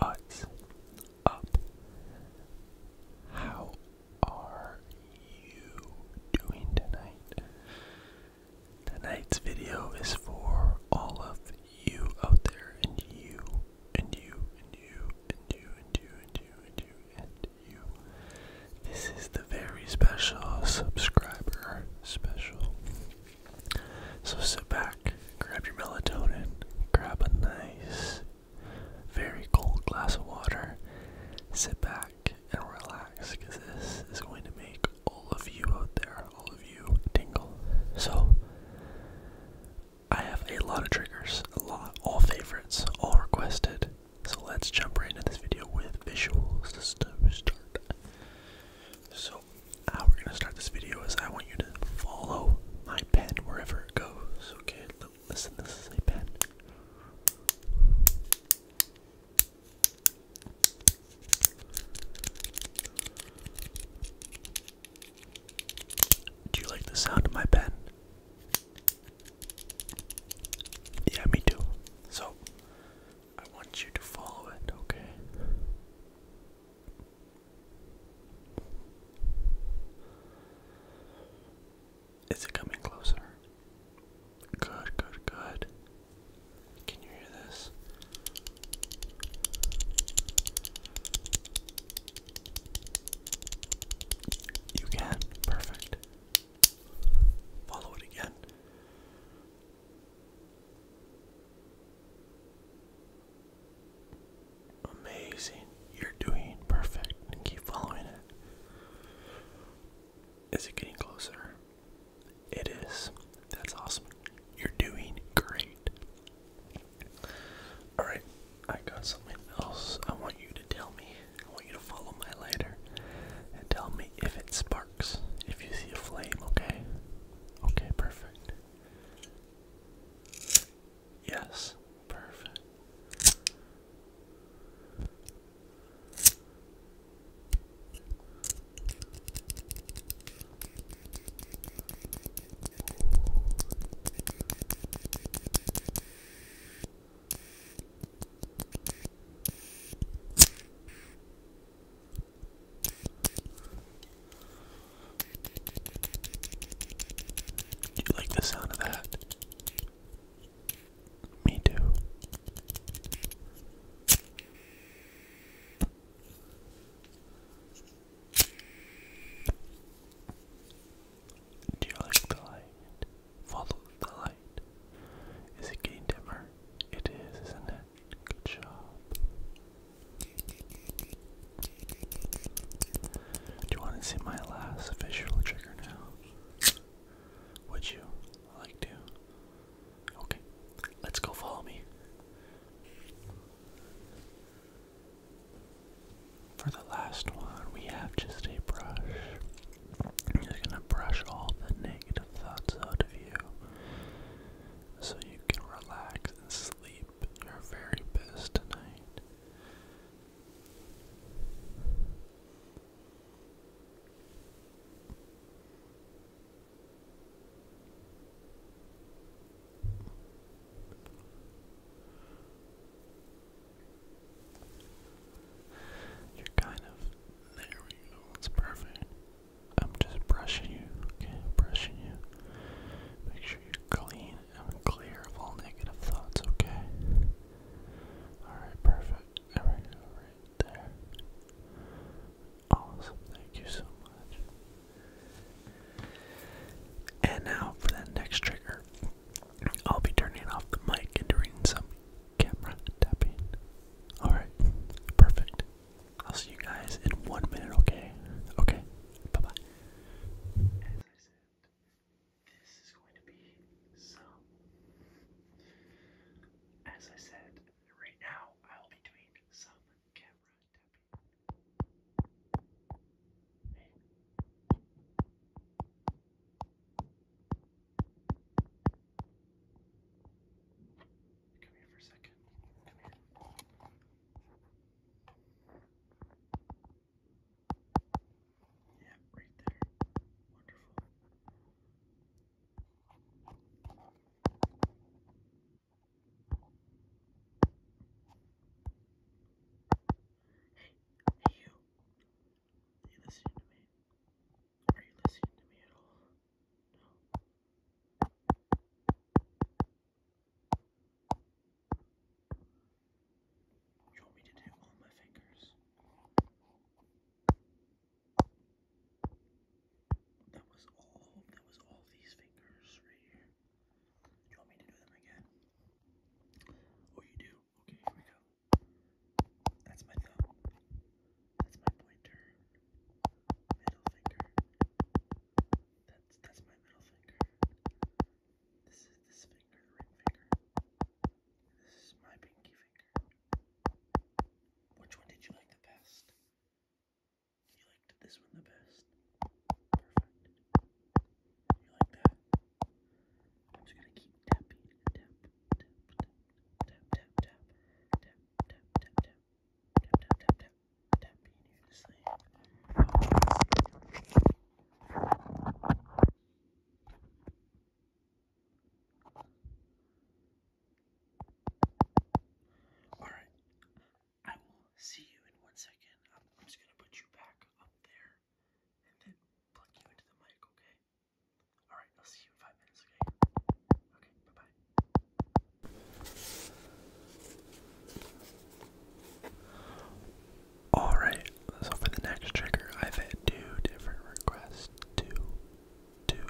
What's up? How are you doing tonight? Tonight's video is for all of you out there, and you, and you, and you, and you, and you, and you, and you, and you. This is the very special subscriber special. So sit back, grab your melatonin, grab a nice, very cold glass of water, sit back and relax because this is going to make all of you out there, all of you, tingle. So, I have a lot of triggers, a lot, all favorites, all requested. So let's jump right into this video with visuals to start. So how we're gonna start this video is I want you to follow my pen wherever it goes. Okay, listen, this is a pen. Do you like the sound of my pen? Yeah, me too. So, I want you to follow it, okay? Is it coming closer? Good, good, good. Can you hear this? You can. Perfect. Follow it again. Amazing. You're doing perfect. And keep following it. Is it getting closer? It is. That's awesome. You're doing great. Alright, I got something else. I want you to tell me. I want you to follow my lighter and tell me if it sparks. If you see a flame, okay? Okay, perfect. Yes, perfect. Do You like the sound of that? Me too. Do you like the light? Follow the light. Is it getting dimmer? It is, isn't it? Good job. Do you want to see my last visual trigger now? Would you like to? Okay, let's go follow me. For the last one, we have just a brush. I'm just gonna brush all the negative thoughts out of you so you can relax and sleep your very best tonight. You're kind of there we go, it's perfect. I'm just brushing you, okay? Brushing you. Make sure you're clean clear of all negative thoughts, okay? Alright, perfect. Alright, right there. Awesome, thank you so much. And now for the next trigger, I'll be turning off the mic and doing some camera tapping. Alright, perfect. I'll see you guys in one minute, okay? Okay, bye bye. As I said, this is going to be some. As I said, right now I'll be doing some camera tapping. Come here for a second. Come here. Yeah, right there. Wonderful. Hey, hey you. Are you listening to me? Are you listening to me at all? No. You want me to do all my fingers? That was all, that was all these fingers right here. you want me to do them again? Oh, you do? Okay, here we go. That's my thumb. That's my pointer. Middle finger. That's that's my middle finger. This is this finger, ring finger. This is my pinky finger. Which one did you like the best? You liked this one the best. Perfect. You like that? I'm just gonna keep tapping. tap, tap, tap, tap, tap, tap, tap, tap, tap, tap, tap, tap, tap. Alright, I will see you in one second. just gonna put you back up there and then plug you into the mic, okay? Alright, I'll see you in five minutes, Okay, bye bye. Alright, so for the next trigger, I've had two different requests. Two, two,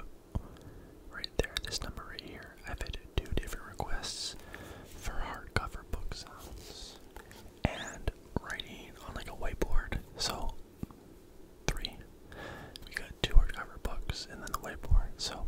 right there, this number right here. I've had two different requests for hardcover book sounds and writing on like a whiteboard. So, three. We got two hardcover books and then the whiteboard. So,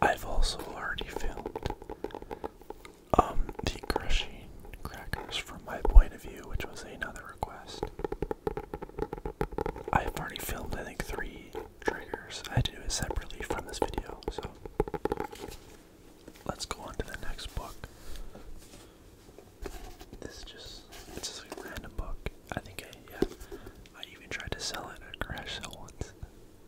I've also already filmed um the crushing crackers from my point of view, which was another request. I've already filmed I think three triggers. I had to do it separately from this video, so let's go on to the next book. This is just it's just a random book. I think I yeah. I even tried to sell it at a crash sale once.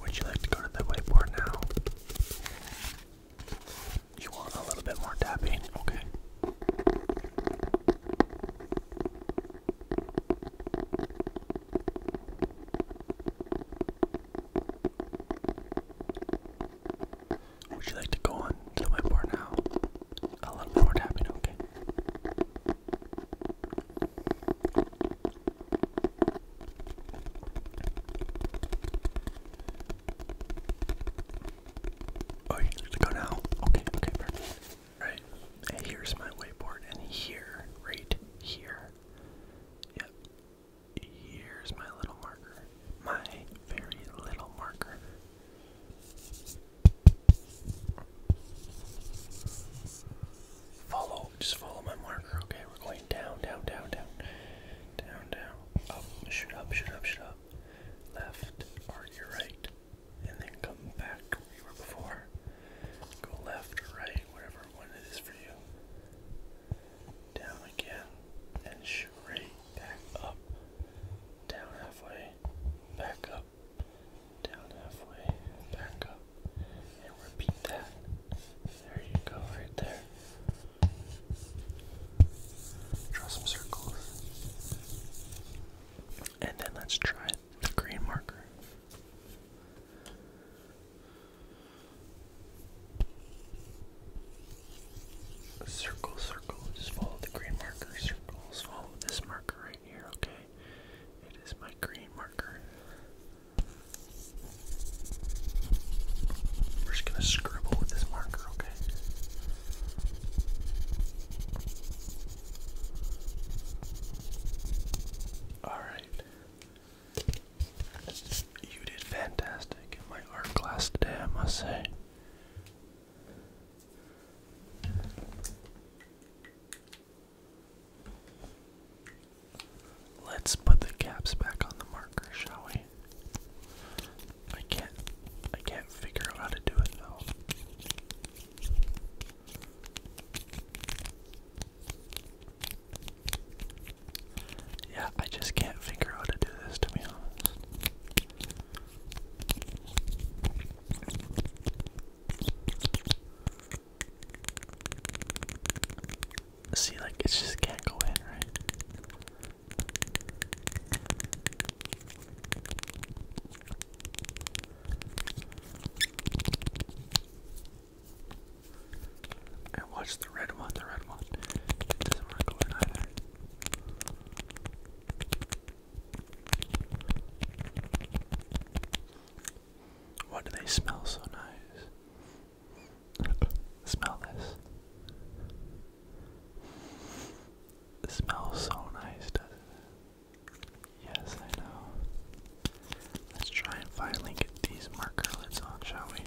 Would you like to go to the whiteboard now? You want a little bit more tapping? Okay. Would you like to go on the whiteboard now? A little more tapping, okay. Oh, you need to go now? Okay, okay, perfect. Right, here's my whiteboard, and here, right here, yep, here's my little marker, my very little marker. Follow, just follow my marker, okay? We're going down, down, down, down, down, down, up, shoot up, shoot up, shoot up, left, or your right, and then come back where you were before. Go left or right, whatever one it is for you. Down again, and straight back up, down halfway, back up, down halfway, back up, and repeat that. There you go, right there. Draw some circles. And then let's try the green marker. Circle, circle, just follow the green marker, circles, follow this marker right here, okay? It is my green marker. We're just gonna scribble with this marker, okay? Alright. You did fantastic in my art class today, I must say. Let's put the caps back on the marker, shall we? I can't I can't figure out how to do it though. Yeah, I just can't figure out how to do this to be honest. See, like, it just can't go in, right? And watch the red one, the red one. It doesn't want to go in either. Why do they smell so nice? smell this. smells so nice, doesn't it? Yes, I know. Let's try and finally get these marker lids on, shall we?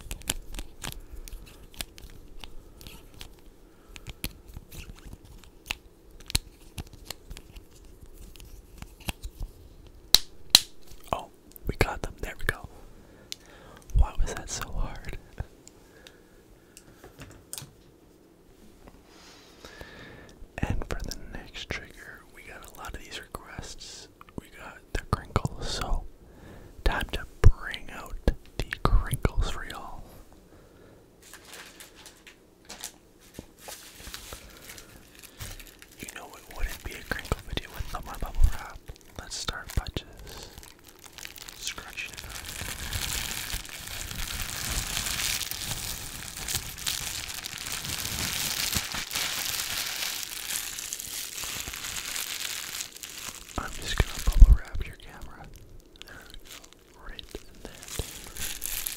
Oh, we got them. There we go. Why was that so hard? and for the next trigger, we got a lot of these requests. We got the crinkles, so time to bring out the crinkles for y'all. You know it wouldn't be a crinkle video without my bubble wrap. Let's start by just scratching it up. I'm just gonna bubble wrap your camera. There Right in there.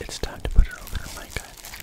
It's time to put it over her mic, I think.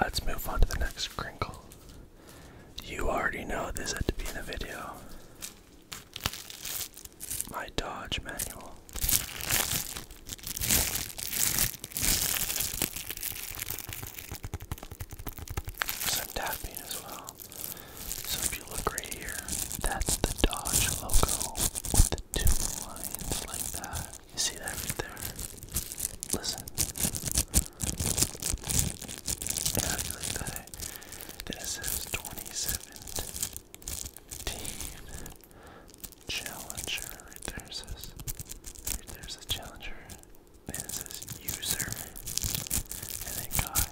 Let's move on to the next crinkle. You already know this had to be in the video. My Dodge manual. Some tapping as well. So if you look right here, that's the Dodge logo with the two lines like that. You see that right there? Listen. And how do you Challenger. Right there says. Right there it Challenger. And it says user. And then guide.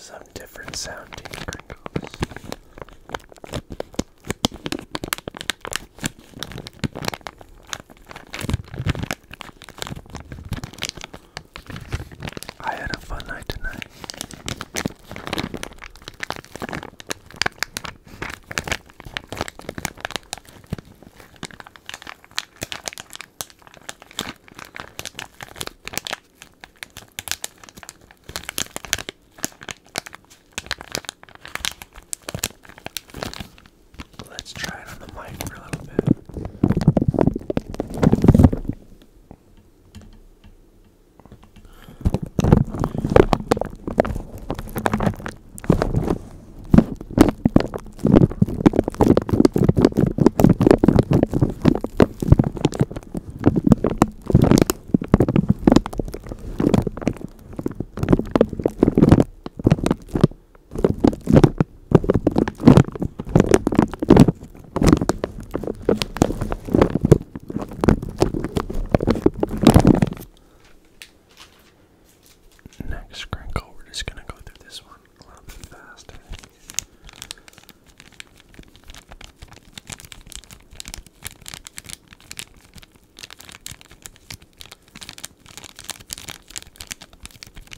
Some different sounding crinkles. I had a fun night tonight. Let's try it on the mic for a little bit. Next crinkle, we're just gonna go through this one a little bit faster.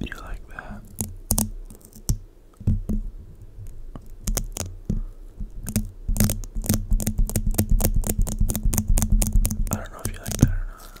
You like that? I don't know if you like that or not.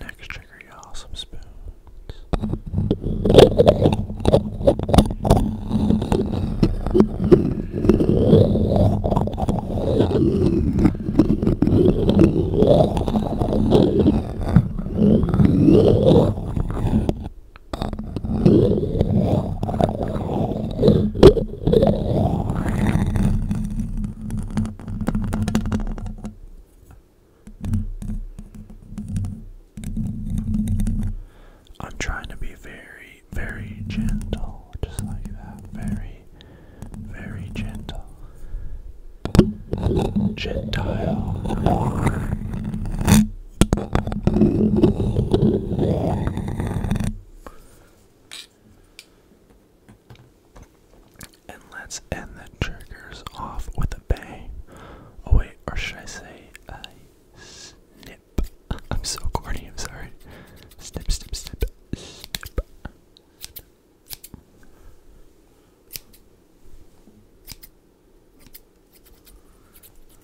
Next trigger, y'all, some spoons. I'm trying to be very, very gentle, just like that. Very, very gentle. Gentile. And let's end the triggers off with a bang. Oh, wait, or should I say a snip? I'm so corny, I'm sorry. Snip, snip, snip, snip.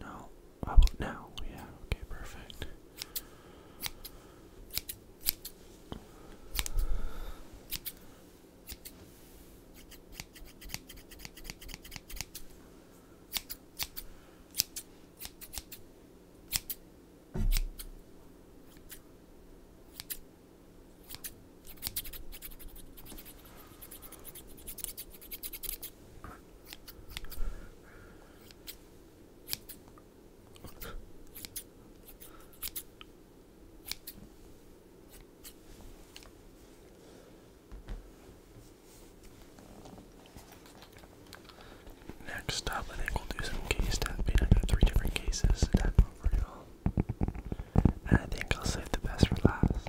No. How about now? Yeah, okay, perfect. Next up, we'll do some case tapping. I got three different cases to tap over y'all. And I think I'll save the best for last.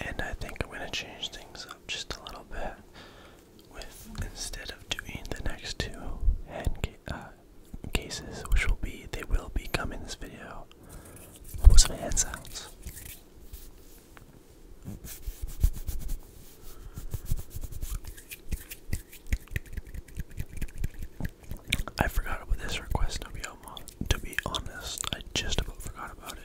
And I think I'm going to change things up just a little bit with instead of doing the next two uh, cases, which will be they will be coming this video. What some hand sounds? I forgot about this request to be honest. I just about forgot about it.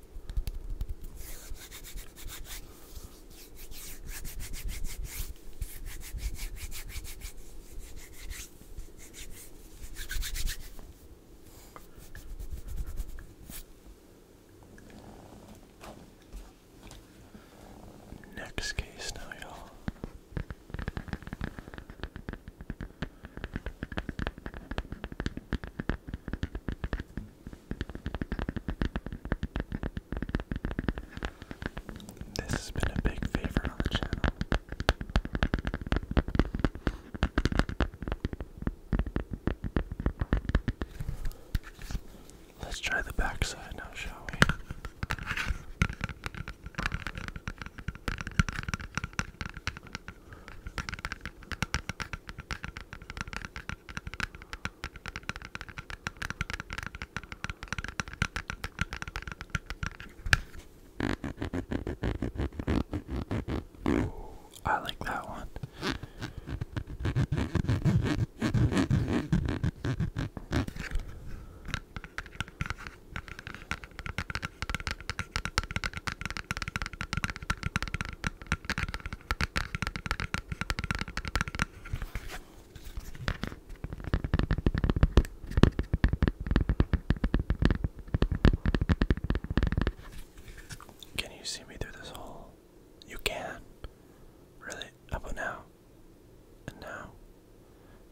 Next case now, y'all. This has been a big favorite on the channel. Let's try the backside now, shall we? Ooh, I like that one. Can you see me through this hole? You can. Really? How about now? And now?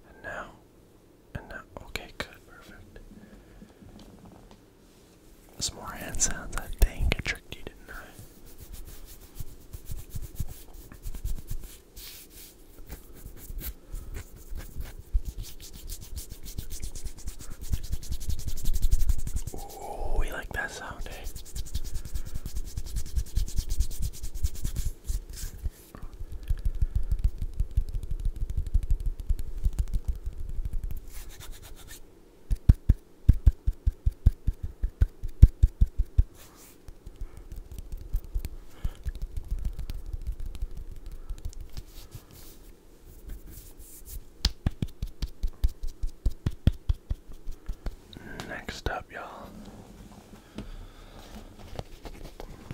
And now? And now? Okay, good, perfect. Some more hand sounds. I think I tricked you, didn't I? Oh, we like that sound, eh? Next up, y'all,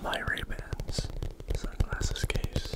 my ray sunglasses case.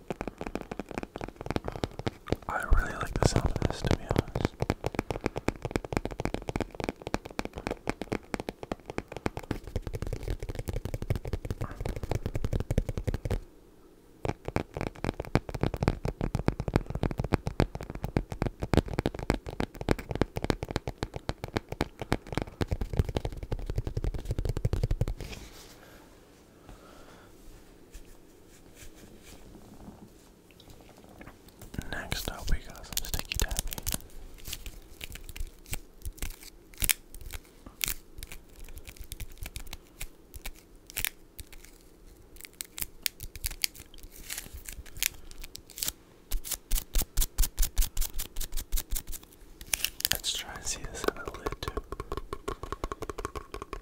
I really like the sound of this, to be honest. Next up, we got some sticky tappy. Let's try and see this on a lid too.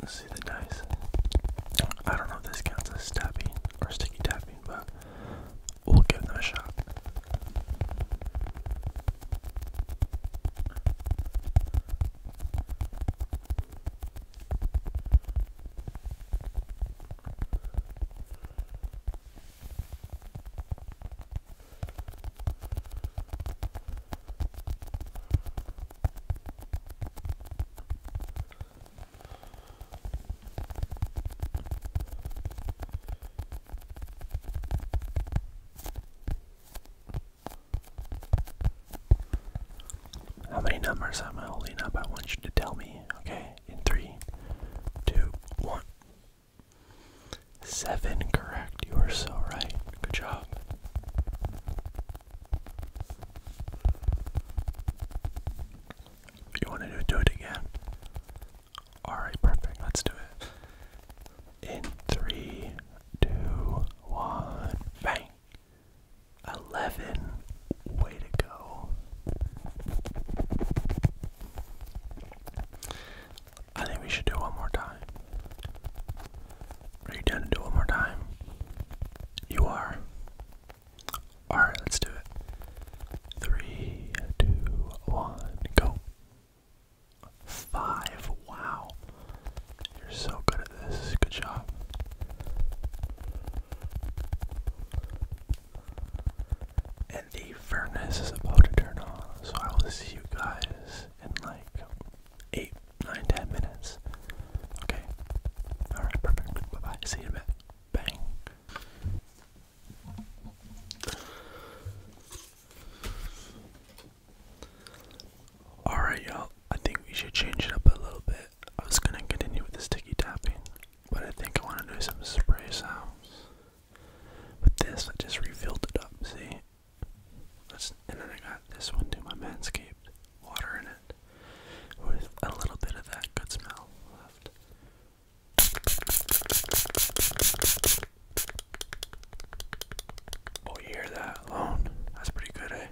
Let's see the dice. I don't know if this counts as tapping or sticky tapping, but we'll give them a shot. How many numbers am I holding up? I want you to tell me, okay? In three, two, one. Seven correct. You are so right. Good job. You want to do it again? Alright, perfect. Let's do it. In three, two, one, bang. Eleven. Way to go. I think we should do one more time. Are you down to do one more time? You are. Alright, let's do it. Three, two, one, go. Five. Wow. You're so good at this. Good job. And the furnace is about to turn on, so I will see you guys in like eight, nine, ten minutes. Okay. Alright, perfect. Bye bye. See you in a bit. Bang. Alright, y'all. I think we should change it up a little bit. I was gonna continue with the sticky tapping, but I think I wanna do some spray sounds. With this, I just refilled it up, see? That's, and then I got this one too, my Manscaped. Water in it. With a little bit of that good smell left. Oh, you hear that alone? That's pretty good, eh?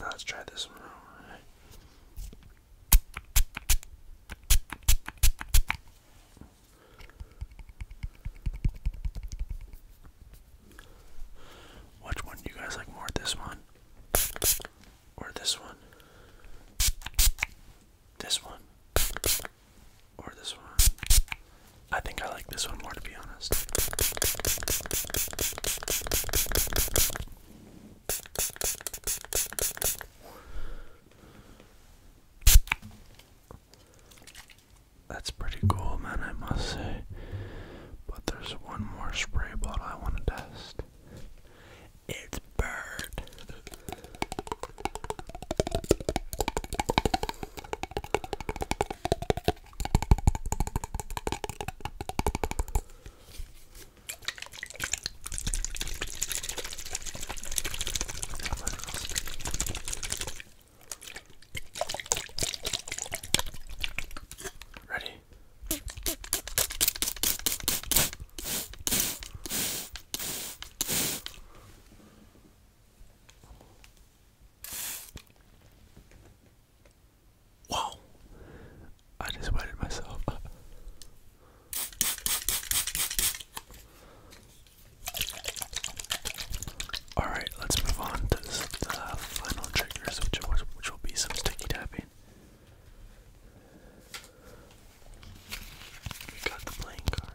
let's try this one which one do you guys like more? This one? Or this one? This one? Or this one? I think I like this one more to be honest. That's pretty cool, man, I must say. But there's one more spray bottle I want to test. It's Bird. Ready? Wow, I just wetted myself. Alright, let's move on to the final triggers, which, which will be some sticky tapping. We got the playing cards.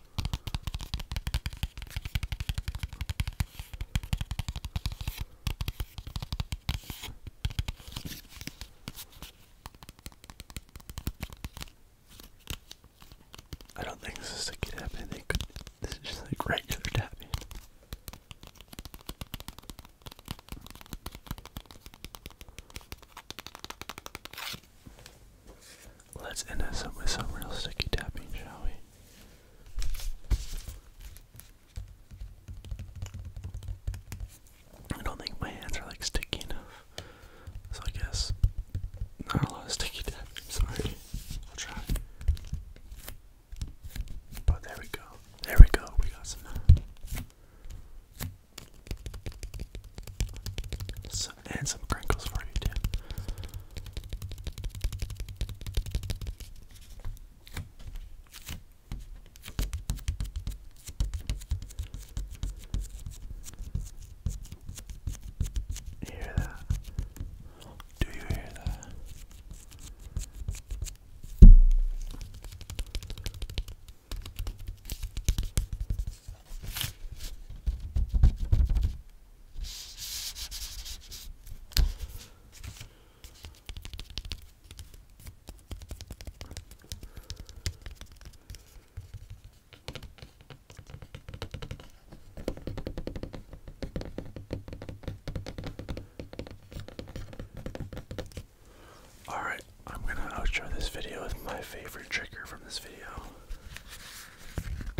I don't think this is sticky tapping. This is just like regular tapping. Let's end this up with some real sticky tapping, shall we? I don't think my hands are like sticky enough. So I guess not a lot of sticky tapping. Sorry. I'll try. But there we go. There we go. We got some. Uh, some, and some crinkles for you too. hear that? Do you hear that? All right, I'm going to outro this video with my favorite trigger from this video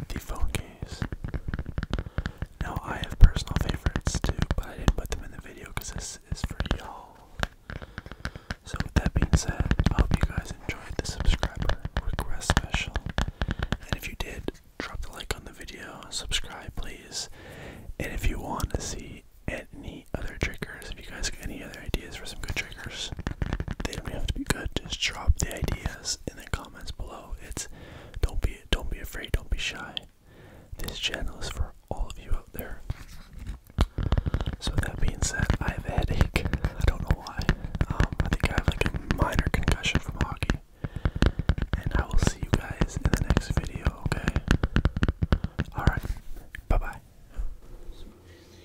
the phone case. Now I have personal favorites too, but I didn't put them in the video because this is for y'all. So with that being said, I hope you guys enjoyed the subscriber request special. And if you did, drop the like on the video, subscribe please. And if you want to see any other triggers, if you guys have any ideas for some good triggers, they don't have to be good. Just drop the ideas in the comments below. It's don't be don't be afraid, don't be shy. This channel is for all of you out there. So that being said, I have a headache. I don't know why. Um, I think I have like a minor concussion from hockey. And I will see you guys in the next video, okay? Alright, bye bye.